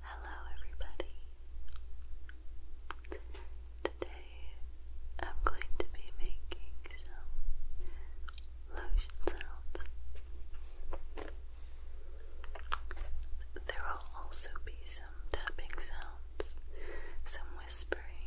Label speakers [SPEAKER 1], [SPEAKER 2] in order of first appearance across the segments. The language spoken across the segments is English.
[SPEAKER 1] Hello, everybody. Today I'm going to be making some lotion sounds. There will also be some tapping sounds, some whispering,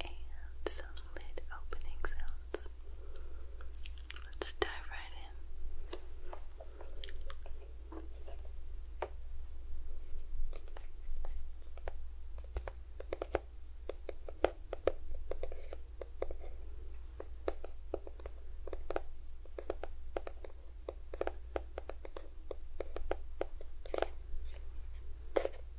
[SPEAKER 1] and some lid opening sounds. Let's dive right in.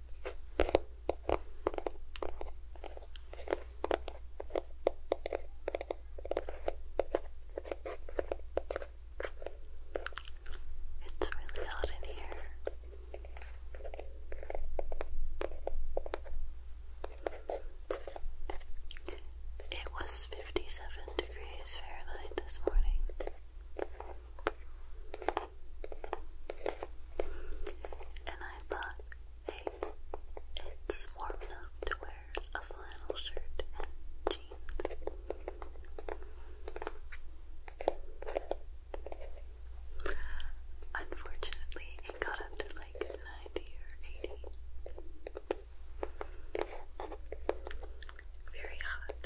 [SPEAKER 1] It's really hot in here. It was 57 degrees Fahrenheit this morning. And I thought, hey, it's warm enough to wear a flannel shirt and jeans. Unfortunately, it got up to like 90 or 80. Very hot.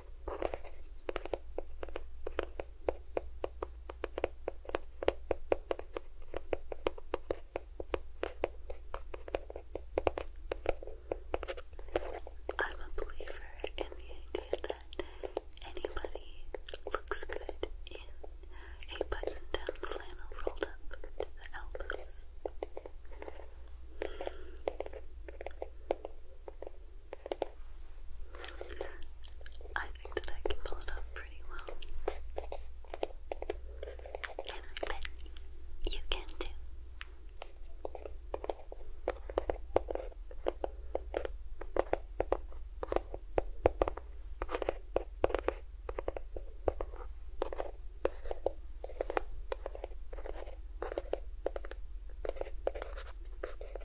[SPEAKER 1] I'm a believer in the idea that anybody looks good in a button down flannel rolled up to the elbows. I think that I can pull it off pretty well. And I bet you can too.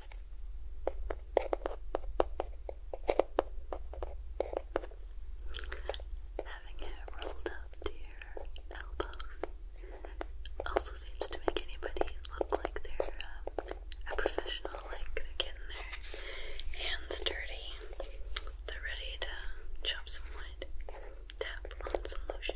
[SPEAKER 1] Having it rolled up to your elbows also seems to make anybody look like they're um, a professional, like they're getting their hands dirty, they're ready to chop some wood, tap on some lotion.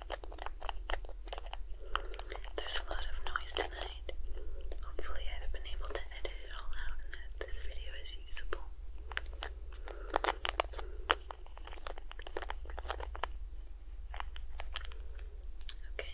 [SPEAKER 1] There's a lot of noise tonight. Hopefully, I've been able to edit it all out and that this video is usable. Okay.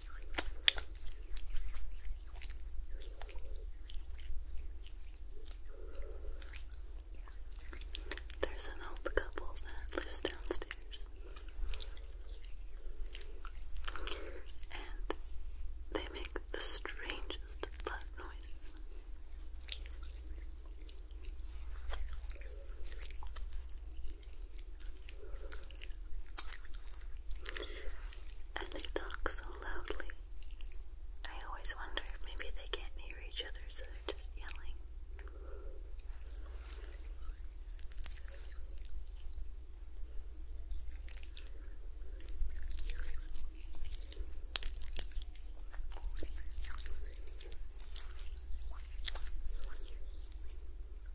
[SPEAKER 1] There's an old couple that lives downstairs. And they make the strangest butt noises. And they talk so loudly. I always wonder if maybe they can't hear each other, so they're just yelling.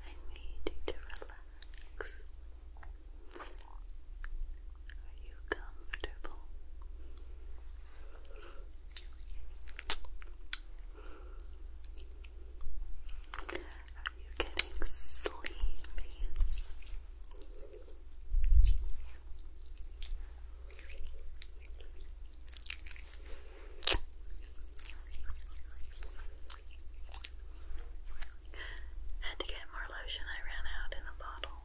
[SPEAKER 1] I need you to relax. Are you comfortable? Are you getting sleepy? Had to get more lotion, I ran out in the bottle.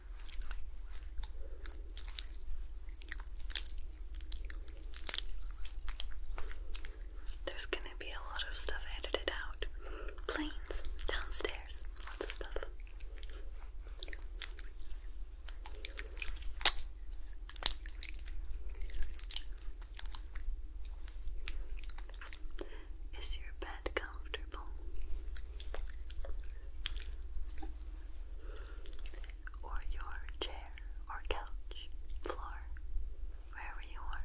[SPEAKER 1] There's gonna be a lot of stuff edited out. Planes, downstairs, lots of stuff. Is your bed comfortable? or your chair or couch, floor, wherever you are.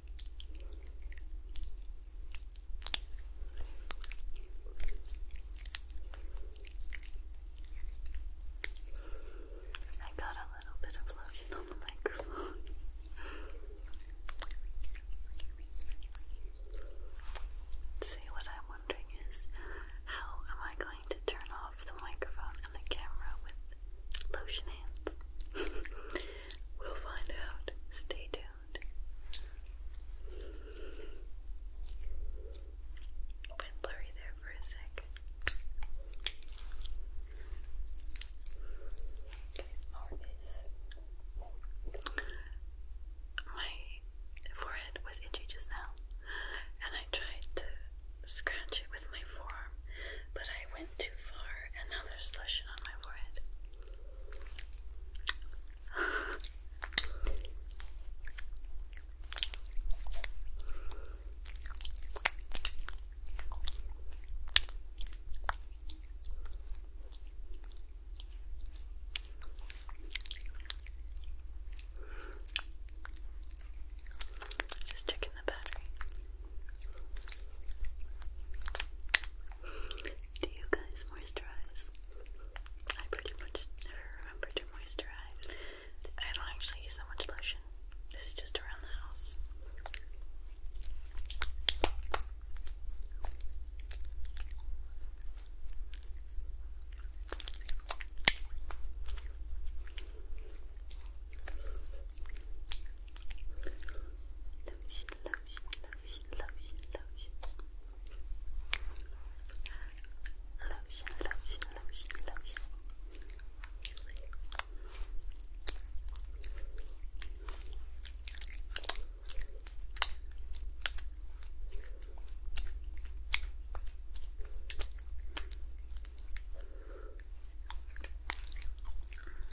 [SPEAKER 1] I got a little bit of lotion on the microphone. See, what I'm wondering is how am I going to turn off the microphone and the camera with lotion hands? We'll find out. Stay tuned. Went blurry there for a sec. ASMR is. My forehead was itchy just now, and I tried to scratch it with my forearm, but I went too far and now there's lotion on my forehead. Just checking the battery. Do you guys moisturize? I pretty much never remember to moisturize. I don't actually use that much lotion. This is just around the house. Lotion, lotion, lotion, lotion, lotion. Lotion, lotion, lotion, lotion. Lotion,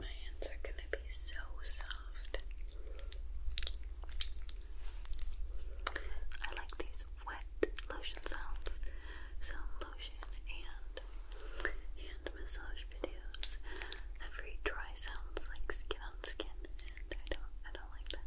[SPEAKER 1] My hands are going to be so soft. I like these wet lotion sounds, sound lotion and hand massage videos. Every dry sounds like skin on skin, and I don't, I don't like that.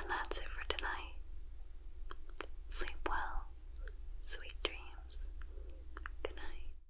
[SPEAKER 1] And that's it for tonight. Sleep well, sweet dreams. Good night.